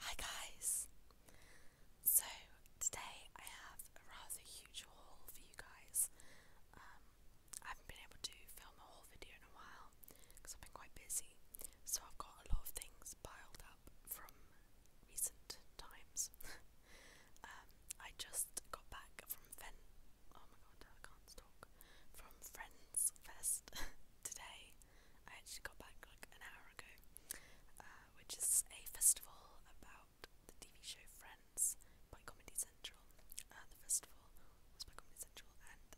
Hi guys! So today I have a rather huge haul for you guys. Um, I haven't been able to film a whole video in a while because I've been quite busy. So I've got a lot of things piled up from recent times. Um, I just got back from Fen- oh my god, I can't talk. From Friends Fest today. I actually got back like an hour ago, uh, which is a festival about the TV show Friends by Comedy Central. Uh, the festival was by Comedy Central, and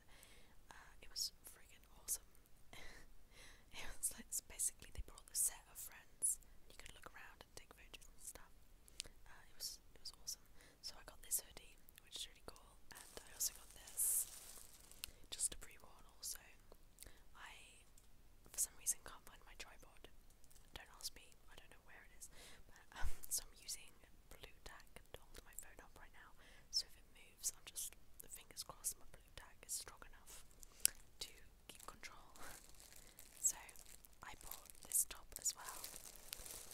uh, it was friggin' awesome. it was like basically they brought the set of Friends, and you could look around and take photos and stuff. Uh, it was it was awesome. So I got this hoodie, which is really cool, and I also got this. Just a pre-worn also, I, for some reason, can't find my tripod. Don't ask me, I don't know where it is. But, um, so I'm using blue tack to hold my phone up right now. So if it moves, I'm just, the fingers crossed, my blue tack is strong enough to keep control. so I bought this top as well.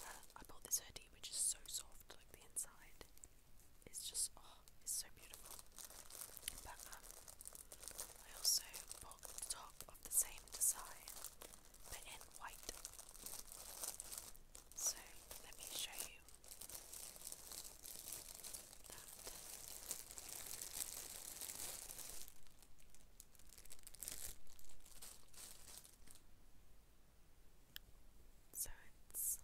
Uh, I bought this hoodie, which is so soft, like the inside it's just oh, it's so beautiful. But I also bought the top of the same design, but in white. So let me show you that. So it's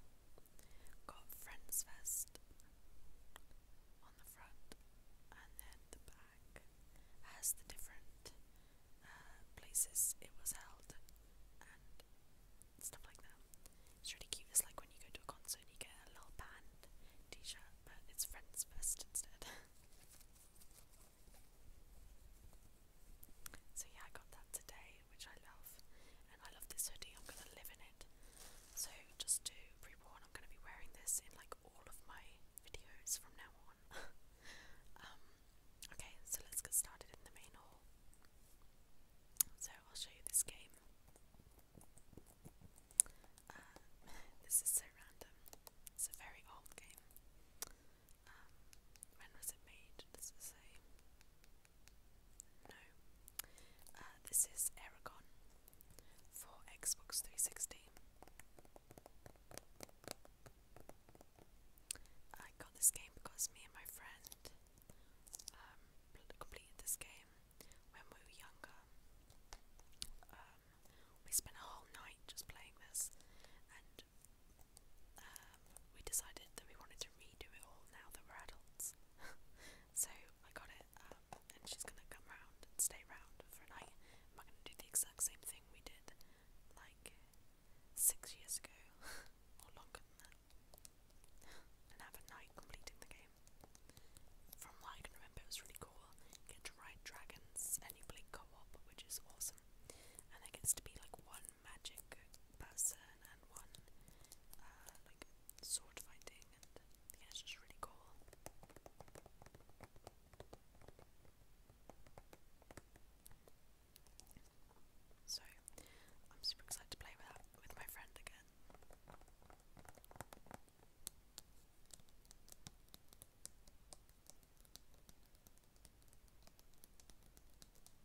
got Friends Fest on the front and then the back has the different uh, places it was held and stuff like that. It's really cute. It's like when you go to a concert and you get a little band t shirt, but it's Friends Fest instead. So yeah, I got that today which I love, and I love this hoodie. I'm gonna live in it. So just do pre-warn, I'm gonna be wearing this in like all of my videos from now on. Um, okay, so let's get started in the main hall. So I'll show you this game. Uh, this is so random. It's a very old game. Um, when was it made? Does it say? No. Uh, this is Aragon for Xbox 360. I got this game because me and my friend um, completed this game when we were younger. Um, we spent a whole night just playing this, uh, we decided that we wanted to redo it all now that we're adults. so I got it up, and she's gonna come round and stay round for a night. Am I gonna do the exact same thing we did like six years ago, or longer than that, and have a night completing the game? From what I can remember, it was really cool. You get to ride dragons and you play co-op, which is awesome. And there gets to be like one magic person and one uh, like sword fighting and yeah just really cool. So I'm super excited to play with that, with my friend again.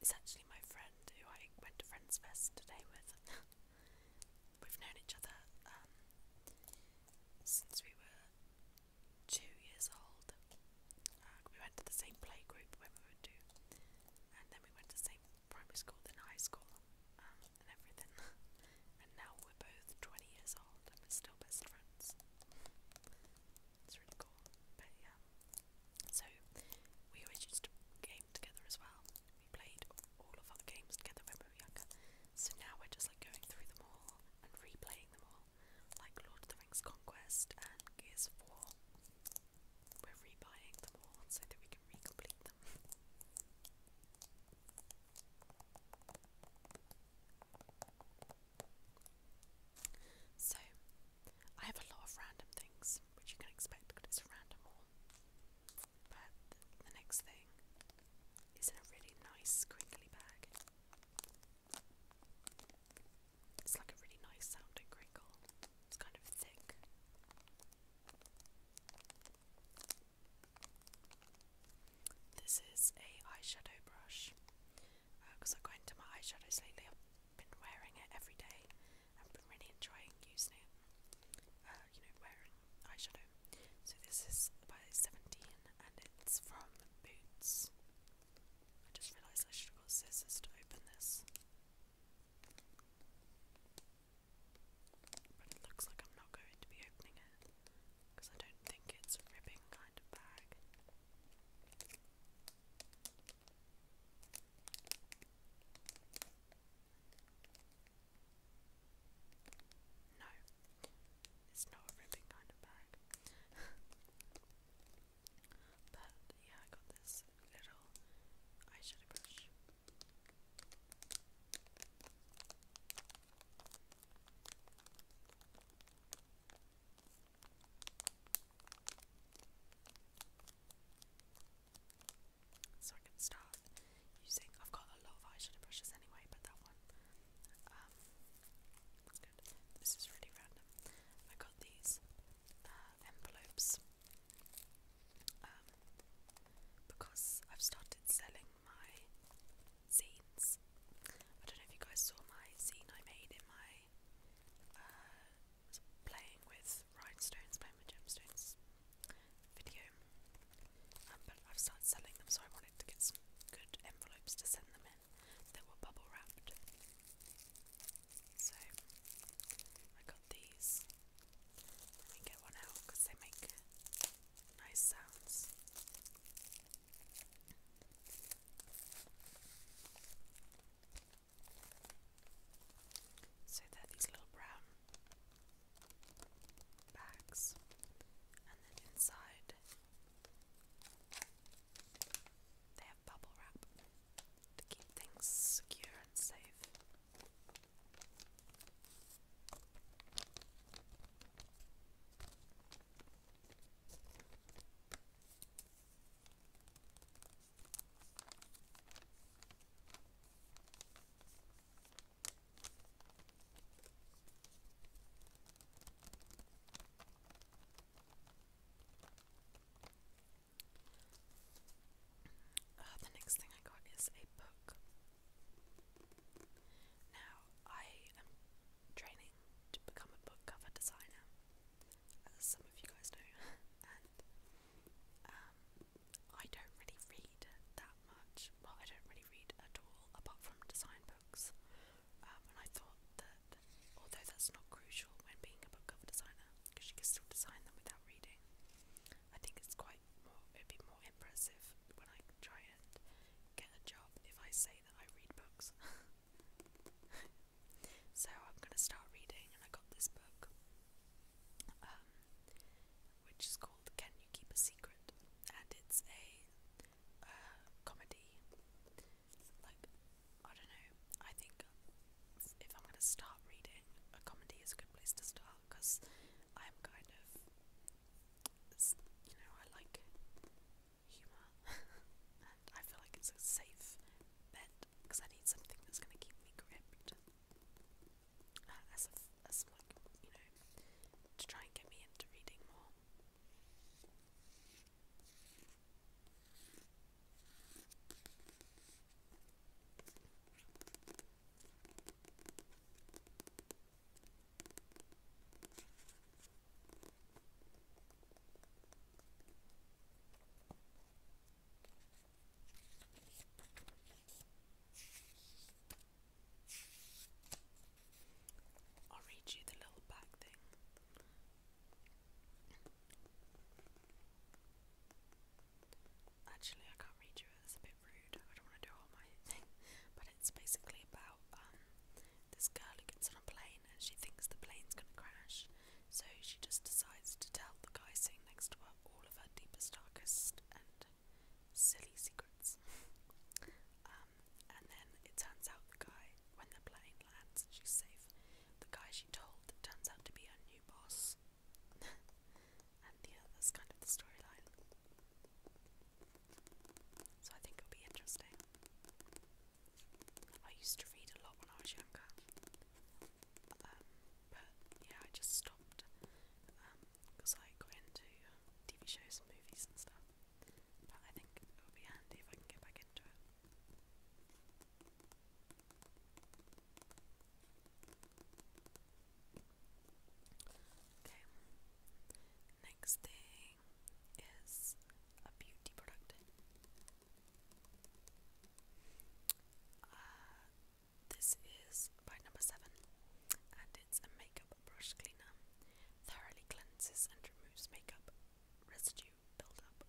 It's actually my friend who I went to Friends Fest today with. We've known each other um, since we were two years old. Uh, we went to the same playgroup when we were two, and then we went to the same primary school, then high school, um, and everything. and now we're both 20 years old and we're still best friends. It's really cool, but yeah. So we always used to game together as well. We played all of our games together when we were younger. So now we're just like going through them all and replaying them all. Like Lord of the Rings Conquest and Gears of War. We're rebuying them all so that we can recomplete them. So I have a lot of random things, which you can expect it's a random haul. But the next thing is in a really nice crinkly bag. It's like a really nice sounding crinkle. It's kind of thick. This is a eyeshadow brush because uh, I've got into my eyeshadows lately been wearing it every day and been really enjoying using it. Uh, you know, wearing eyeshadow. So this is by Seventeen and it's from Boots. I just realised I should have got scissors to open this. But it looks like I'm not going to be opening it because I don't think it's a ribbing kind of bag. No, it's not a ripping kind of bag. but yeah, I got this little eyeshadow brush. So I can start using. I've got a lot of eyeshadow brushes anyway, but that one. Um, good. This is really random. I got these uh, envelopes um, because I've started selling my scenes. I don't know if you guys saw my zine I made in my uh, playing with rhinestones, playing with gemstones video. Um, but I've started selling them, so I wanted to get some good envelopes to send them in that were bubble wrapped. So I got these. Let me get one out because they make nice sounds. So they're these little brown bags, and then inside they have bubble wrap to keep things secure and safe. Uh, the next thing I got is a book. Now, I am training to become a book cover designer, as some of you guys know, and um, I don't really read that much. Well, I don't really read at all, apart from design books. Um, and I thought that, although that's not crucial when being a book cover designer, because you can still design them without reading, I think it's quite more. It'd be more impressive when I try and get a job if I say that I read books. So I'm going to start reading, and I got this book, um, which is called Can You Keep a Secret? And it's a uh, comedy. Like, I don't know, I think if I'm going to start reading, a comedy is a good place to start because I'm kind of, you know, I like humour, and I feel like it's so safe because I need something that's going to keep me gripped uh, like you know to try and get me into reading more. I'll read you the little back thing. Actually, I can't read you it's a bit rude. I don't want to do all my thing, but it's basically about um, this girl who gets on a plane and she thinks the plane's gonna crash, so she just decides to tell the guy sitting next to her all of her deepest, darkest, and silly secrets. um, and then it turns out the guy, when the plane lands she's safe, the guy she told turns out to be her new boss. and yeah, that's kind of the storyline. So I think it'll be interesting. I used to read a lot when I was younger, um, but yeah, I just stopped because um, I got into uh, TV shows and movies and stuff. But I think it would be handy if I can get back into it. Okay, Next thing is a beauty product. Uh, this is by number seven, and it's a makeup brush cleaner. Thoroughly cleanses and removes makeup residue buildup.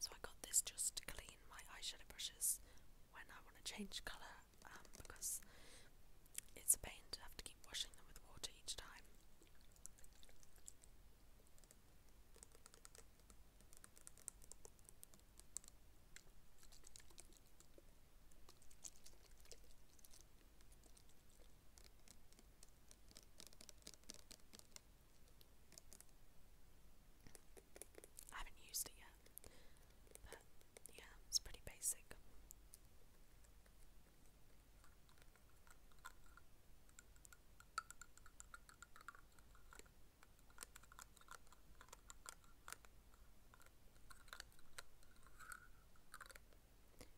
So I got this just to clean my eyeshadow brushes when I want to change colour um, because it's a pain to have to keep washing them with water each time. I haven't used it yet, but yeah, it's pretty basic.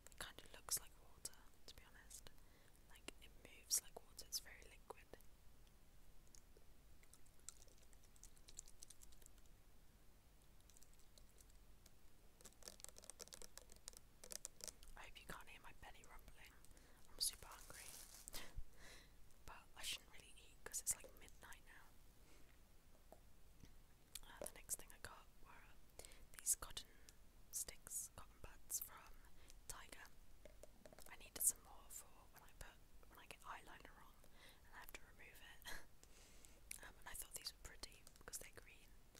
It kind of looks like water, to be honest. Like it moves like water, it's very liquid. I hope you can't hear my belly rumbling. I'm super hungry. but I shouldn't really eat because it's like midnight now. Uh, the next thing I got were these cotton sticks, cotton buds from Tiger. I needed some more for when I put when I get eyeliner on and I have to remove it. Um, and I thought these were pretty because they're green. So I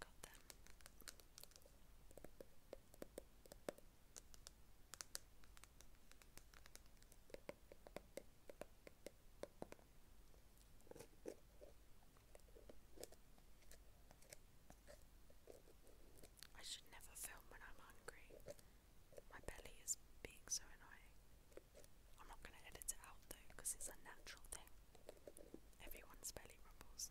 got them. I should never film when I'm hungry. My belly is being so annoying. I'm not going to edit it out though it's a natural thing. Everyone's belly rumbles.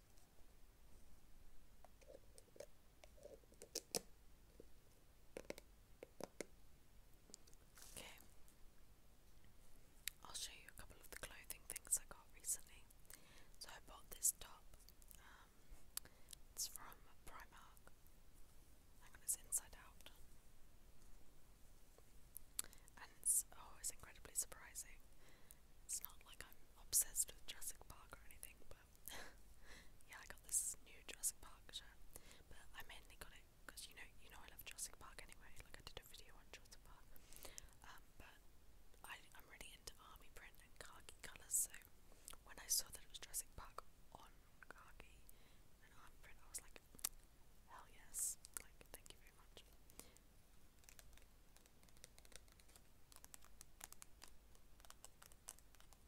Okay. I'll show you a couple of the clothing things I got recently. So I bought this top. Um, it's from Primark. Hang on, it's inside out. And it's oh, it's incredibly surprising. It's not like I'm obsessed with Jurassic Park or anything, but yeah, I got this new Jurassic Park shirt. But I mainly got it because you know, you know, I love Jurassic Park anyway. Like I did a video on Jurassic Park. Um, but I, I'm really into army print and khaki colours, so when I saw that it was Jurassic Park on khaki and army print, I was like, hell yes! Like, thank you very much.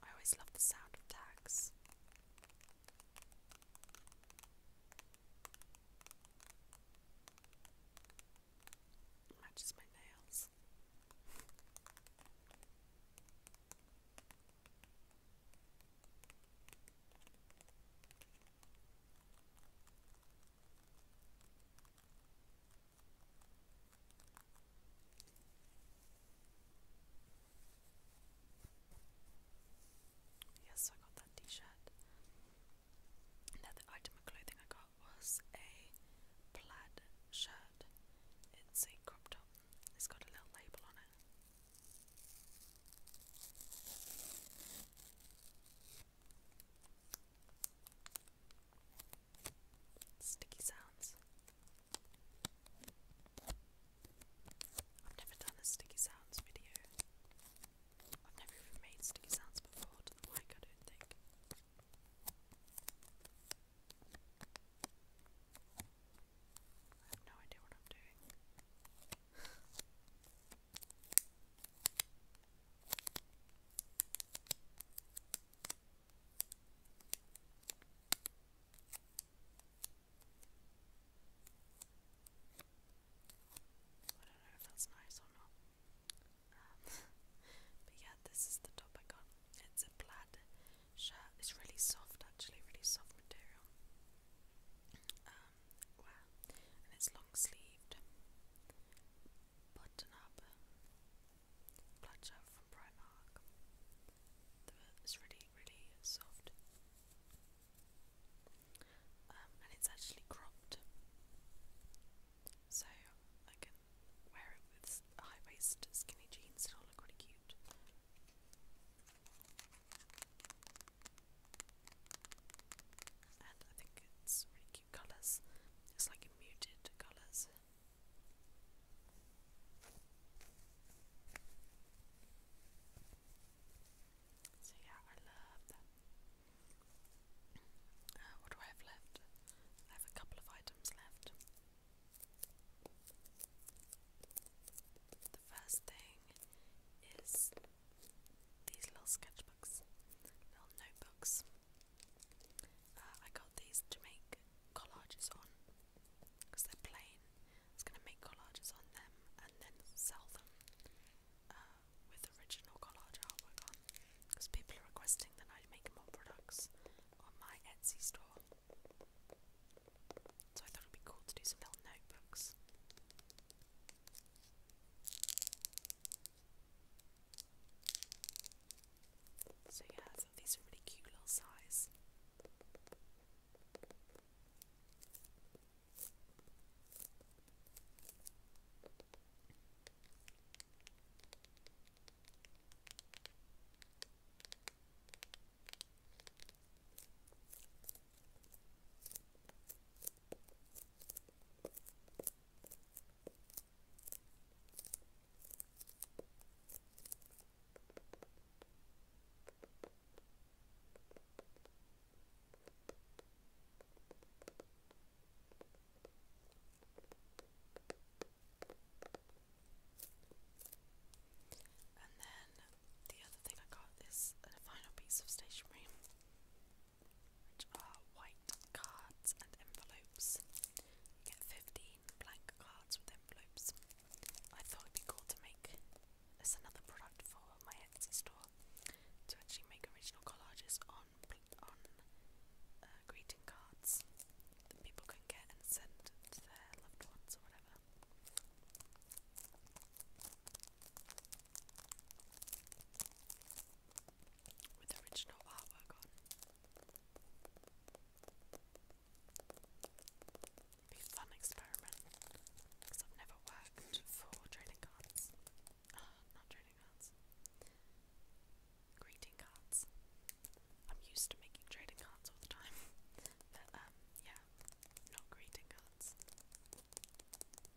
I always love the sound of tags. matches my nails. Yes, so I got that t shirt. Now, the item of clothing I got was a plaid shirt. It's a crop top, it's got a little label on it. Sticky sounds. I've never done a sticky sounds video. I've never made sticky sounds before to the I don't think. I have no idea what I'm doing. I don't know if that's nice or not. but yeah, this is the top I got. It's a plaid shirt. It's really soft, actually, really soft material um, and it's long sleeved, button up, plaid from Primark. It's really, really soft, um, and it's actually cropped, so I can wear it with high waist skinny jeans, it'll look really cute. And I think it's really cute colours. It's like muted colours. So yeah, I love that. Uh, what do I have left? I have a couple of items left. The first thing is these little sketchbooks, little notebooks. Uh, I got these to make collages on because they're plain. I going to make collages on them and then sell them uh, with original collage artwork on because people are requesting that I make more products on my Etsy store. So I thought it would be cool to do some little notebooks. So yeah, I these are really cute little size. And then the other thing I got is a final piece of stationery which are white cards and envelopes. You get 15 blank cards with envelopes. I thought it'd be cool to make this another product for my Etsy store to actually make original collages on on uh, greeting cards that people can get and send to their loved ones or whatever with original artwork on. be fun experiment I've never worked for trading cards. Uh, not trading cards. Greeting cards. I'm used to making trading cards all the time, but um, yeah, not greeting cards.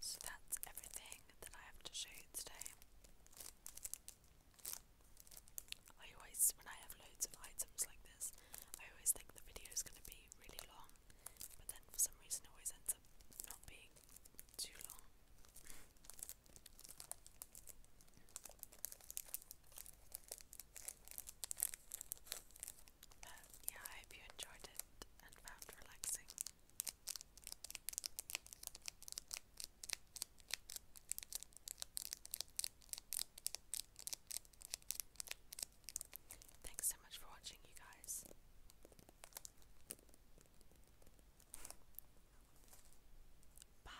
So that's everything that I have to show you today. I always, when I have loads of items like this, I always think the video is going to be really long, but then for some reason it always ends up not being too long yeah, I hope you enjoyed it and found relaxing. Thanks so much for watching, you guys. Bye.